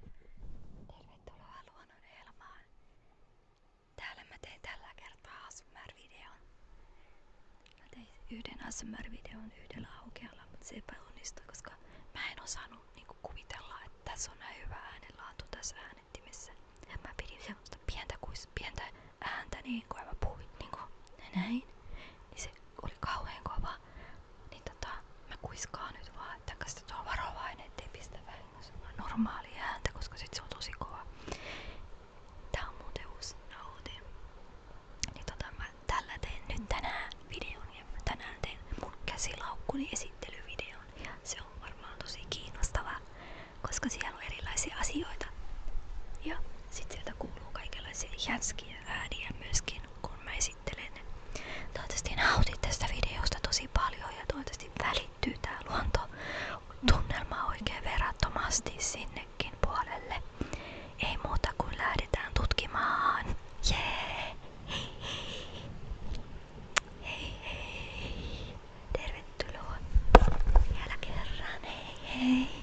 Tervetuloa luonnon elämään. Täällä mä tein tällä kertaa ASMR-videon. yhden ASMR-videon yhdellä aukealla, mutta se epäonnistui, koska mä en osannut niinku kuvitella, että tässä on näin hyvä äänenlaatu tässä äänettimessä. Ja mä pidin semmoista pientä, kuis, pientä ääntä niin kuin mä puhuin kuin. Niinku, näin niin se oli kauhean kova. Niin tota, mä kuiskaan nyt vaan, varovainen, ettei pistä vahingossa normaali koska sit on tosi kova. Tää on muuten uusi nauti. Niin tota, mä tällä teen nyt tänään videon ja mä se on varmaan tosi kiinnostava, koska siellä on erilaisia asioita. Ja sit sieltä kuuluu kaikenlaisia jänskiä ääniä myöskin, kun mä esittelen. Toivottavasti nautit tästä videosta tosi paljon ja toivottavasti välittyy tää luontotunnelma oikein verrattomasti sinnekin puolelle. Ei muuta kuin lähdetään tutkimaan. Jee! Hei hei! Hei hei! Tervetuloa vielä kerran. Hei hei!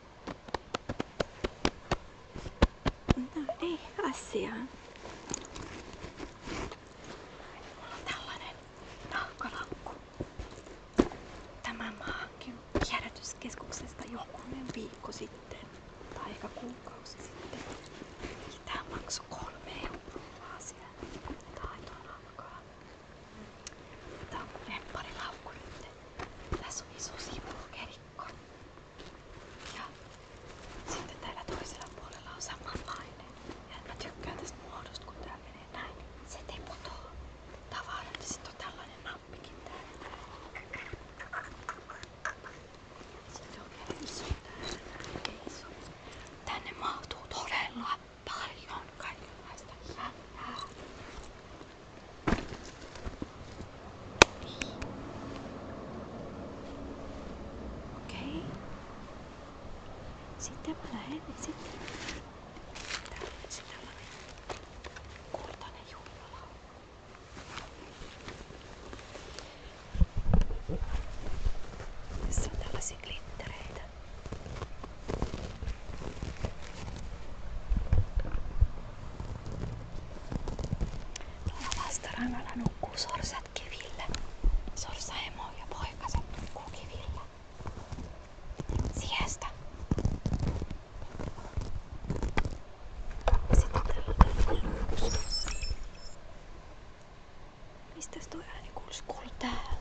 No ei asiaan. tällainen nahkalaukku. Tämän mä hankin kierrätyskeskuksesta jokunen viikko sitten. Tai ehkä kuukausi sitten. kolme euroa vaan siellä. on alkaa. Tää on rempparilaukku nyt. Tässä on iso sivukerikko. Ja sitten täällä toisella puolella on samanlainen. Ja mä tykkään tästä muodosta, kun tää menee näin. Se ei putoa tavaran ja sit on tällainen nappikin täällä. Sitten on vielä iso täällä. Iso. Tänne mahtuu todella paljon kaikenlaista hyvää. Okei. Sitten mä lähden sitten. Tää on nyt tällainen kultainen juhlala. Tässä on tällaisia glittereitä. Tuolla vastarannalla nukkuu sorsat kivillä. Sorsa emo ja poikaset nukkuu kivillä. Siesta. Sitten Mistäs tuo ääni kuulisi? Kuuluu täältä.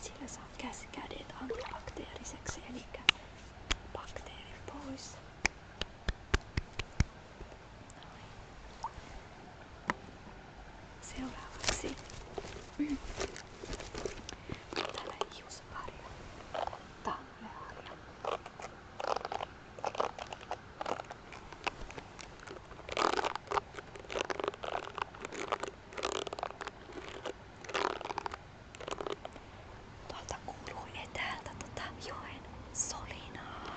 sillä saa kädet antibakteeriseksi, eli bakteerit pois. Noin. Seuraavaksi mm. täällä hiusparia, tammeharia. Täällä Tuolta kuuluu etäältä tota joen solinaa.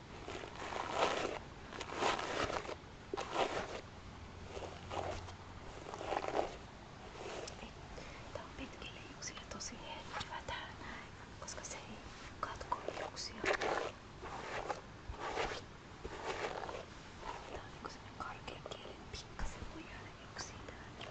Tämä on pitkille juuksille tosi hyvä tää näin, koska se ei katko juuksia. Tää on niinku semmonen karkea kieli, pikkasen voi jäädä juuksia täältä.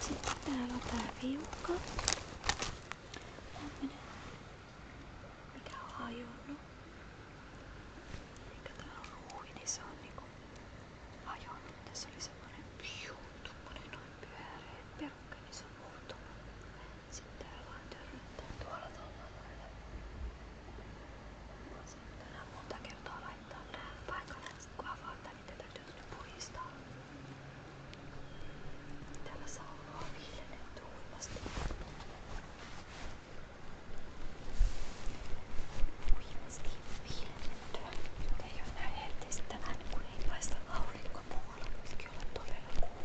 Sitten täällä on tää viuka. Tämmönen, mikä on hajonnut. Eikä tää on ruuhi, niin se on niinku hajonnut. Tässä oli semmonen piu, tummonen noin pyöreä perukka, niin se on muuttunut. Sitten täällä vaan törryttää tuolla tuolla lailla. Sitten tänään monta kertaa laittaa tää paikalle, kun avaa tän niitä täytyy nyt puhdistaa. Täällä saa olla viljennetty huimasti. Huimasti viljennettyä. Ei ole näin niin heltistävää, kun ei paista aurinko muualla. Voisikin olla todella kuuma.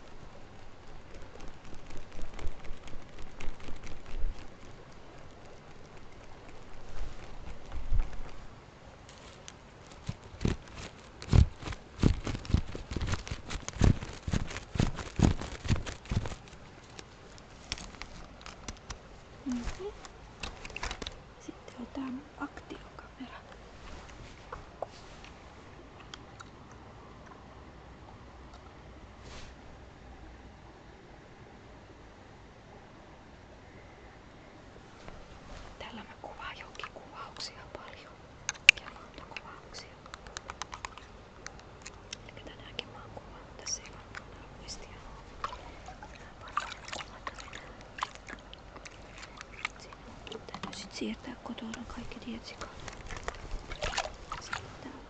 Sitten on tämä mun aktiokamera. Tällä mä kuvaan jokin kuvauksia paljon. Ja luontokuvauksia. Eli tänäänkin mä oon kuvannut tässä ilman muistia. Siinä täytyy sit siirtää kotona kaikki tietsikat. Siirtää.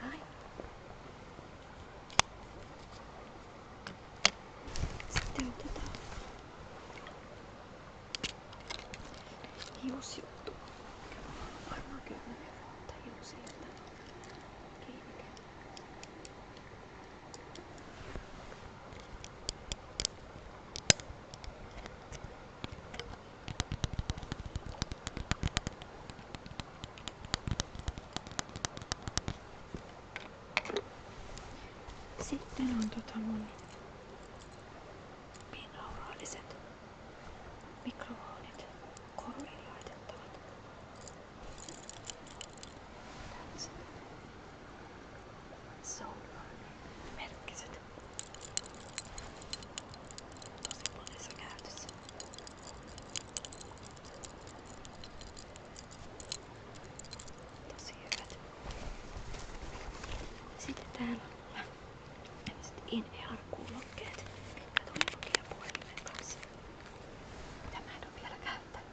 はい絶対打てた火をしようと sitten on tota mun binauraaliset mikrofoonit korviin laitettavat. That's se on merkkiset. Tosi monessa käytössä. Tosi hyvät. Sitten täällä on tämmöiset in-ear-kuulokkeet, mitkä tuli lukijapuhelimen kanssa. Mitä mä en ole vielä käyttänyt.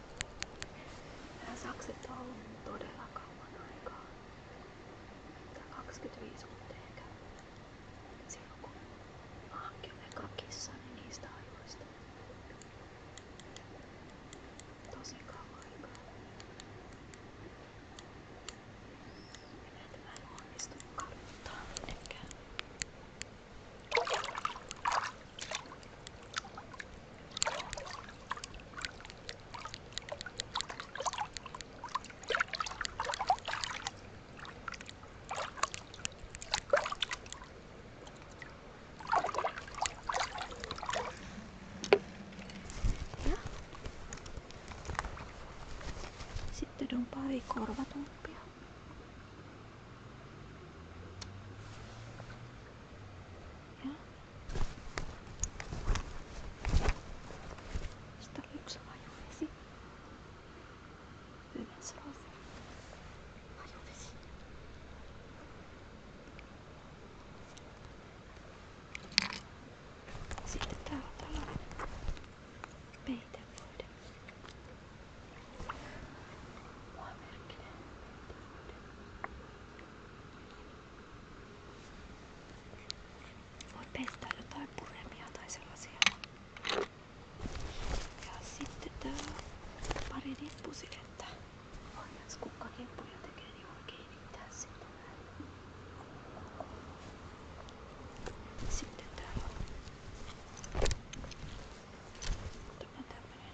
Nämä sakset on ollut todella kauan aikaa. 25 vuotta ehkä. Silloin kun mä hankin kakissa, niin niistä ajoista. Tosi kauan aikaa. Ja näitä mä en onnistunut kartuttaa mitenkään. Sitten on pari korvatumpia. Ja. Sitten oli yksi hajuvesi. Yhdensroosi. Hajuvesi. Sitten täällä on tällainen peitevuode. Mua merkinen Voi pestää jotain puremia tai sellaisia. Ja sitten tää pari rippusidettä. Onneksi kukkakippuja tekee niin voi kiinnittää sitä sitten täällä on tämä tämmönen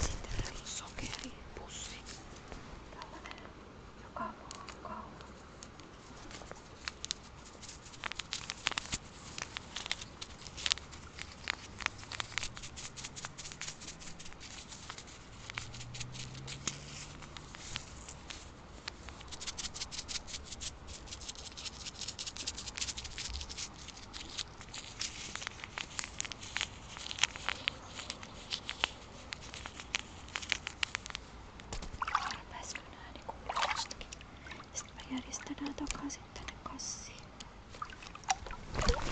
Sitten täällä on sokeripussi. Tällainen joka kauppa. Täällä Pääskö nää niinku jostakin? Sitten mä järjestän nää takaisin tänne kassiin. Mä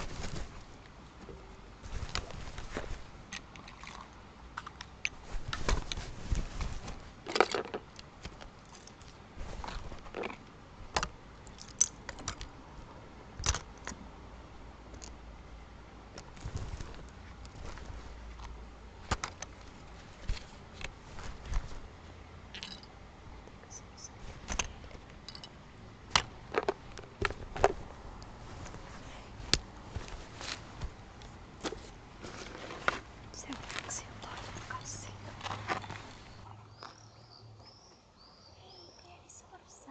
Seuraavaksi on kassi. Hei, pieni sorsa.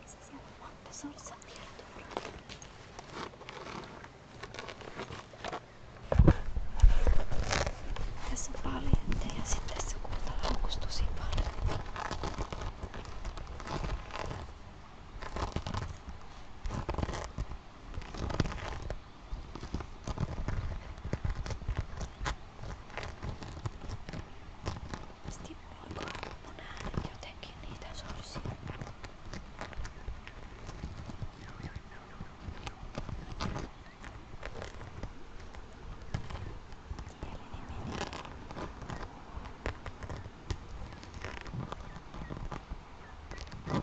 Missä siellä on monta sorsaa vielä tuolla? Tässä on paljon ja sitten tässä kuuta haukusi tosi paljon. Täällä Stimuloiko mun äänet jotenkin niitä sorsia? Mä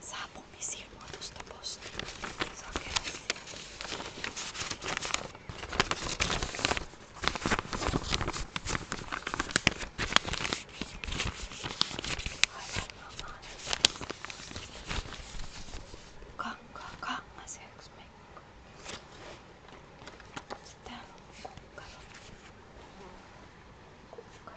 saapumisilmoitusta postiin. Kankaa kangaseksi Mikko. Täällä on kukkaro. Kukkaro.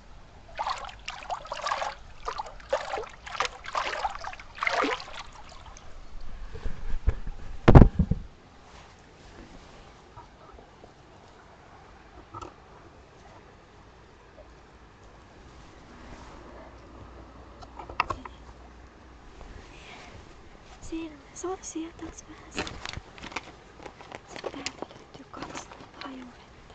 Siinä ne soi sieltäks vähän sen. Sen täältä löytyy kans hajuvettä.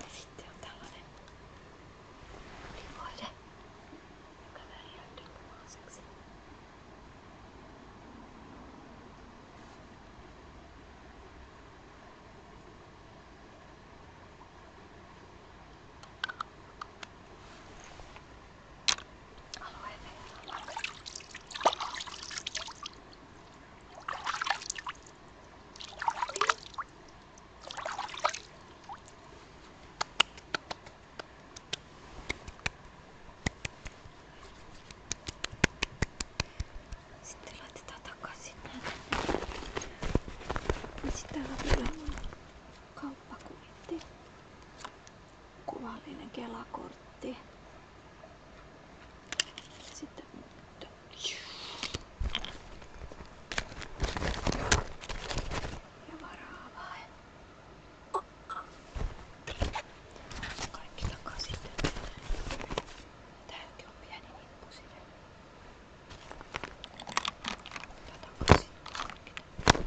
Ja sitten on tällainen livoide, joka värjäytyy punaiseksi. Alueen verran. Sitten laitetaan takaisin näitä. Niin ja sitten täällä vielä on kauppakuitti. Kuvallinen kelakortti. Sitten ja varaavaa. Kaikki takaisin. Tämäkin on pieni nippu sinne. Takaisin. Kaikki.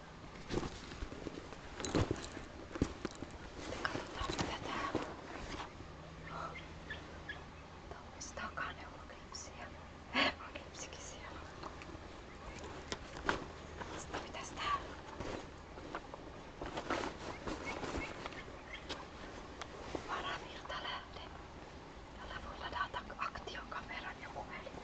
Katsotaan tätä. Tuossa takana on klipsiä. On klipsikin siellä. Sitten mitäs täällä? Varavirta lähde, jolla voi ladata aktiokameran ja puhelimen.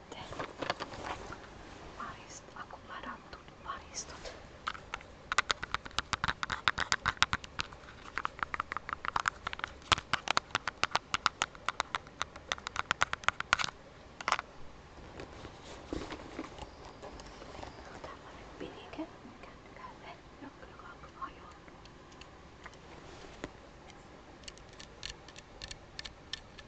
sitten marist, akkuladantut maristut. Meillä on tällainen pilike kännykälle, joka on hajonnut.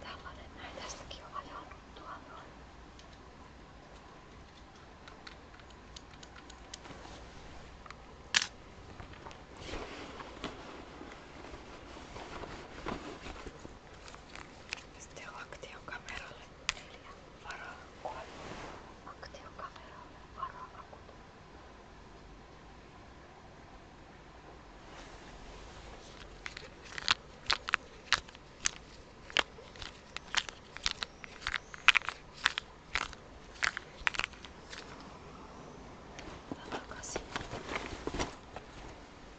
Tällainen näin tästäkin on ajanut tuolla noin. Sitten aktiokameralle neljä. Varaa kolme. Aktiokameralle varaa kuusi. Takaisin.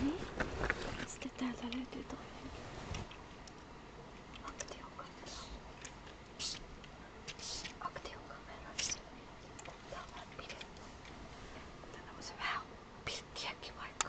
Nej, jag ska tävla ut idag. Och till Håkan. Och till Håkan Mellan. Tämä on pidetty. Tämä on se vähän pitkiäkin vaikka.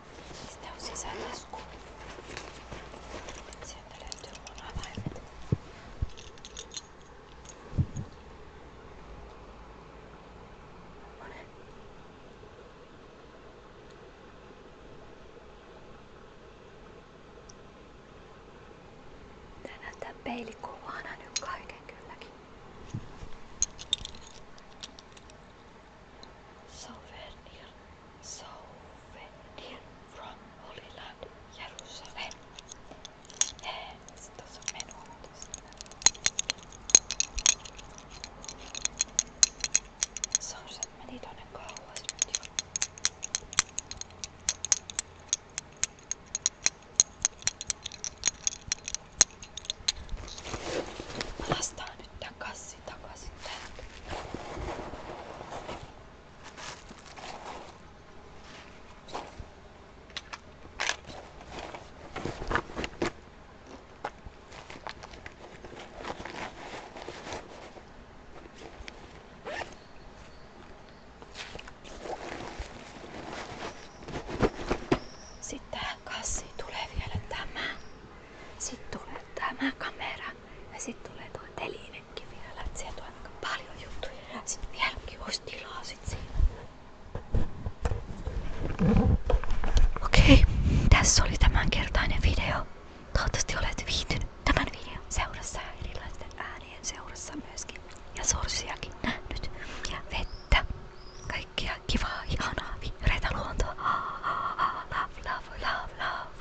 Mistä on sisälasku? Sieltä löytyy mun avaimet. Ole. Tää näyttää peilikuvana nyt kaiken kylläkin. somewhere near, from Holy Land, Jerusalem. Yes, those are men Sonuçta many don't go was with you. Last time laittaa kassi takaisin tänne. Sitten tähän kassiin tulee vielä tämä. Sitten tulee tämä kamera ja sitten tulee tuo telinekin vielä. Et sieltä on aika paljon juttuja. Sitten vieläkin olisi tilaa sit siinä. Okei, tässä oli tämänkertainen video. Toivottavasti olet viihtynyt tämän videon seurassa ja erilaisten äänien seurassa myöskin. Ja sorsiakin nähnyt. Ja vettä. Kaikkia kivaa, ihanaa, vihreitä luontoa. Ah, love, love, love.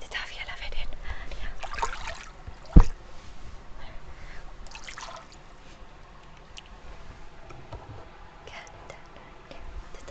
Did I feel of it in? Yeah. Good. Did I feel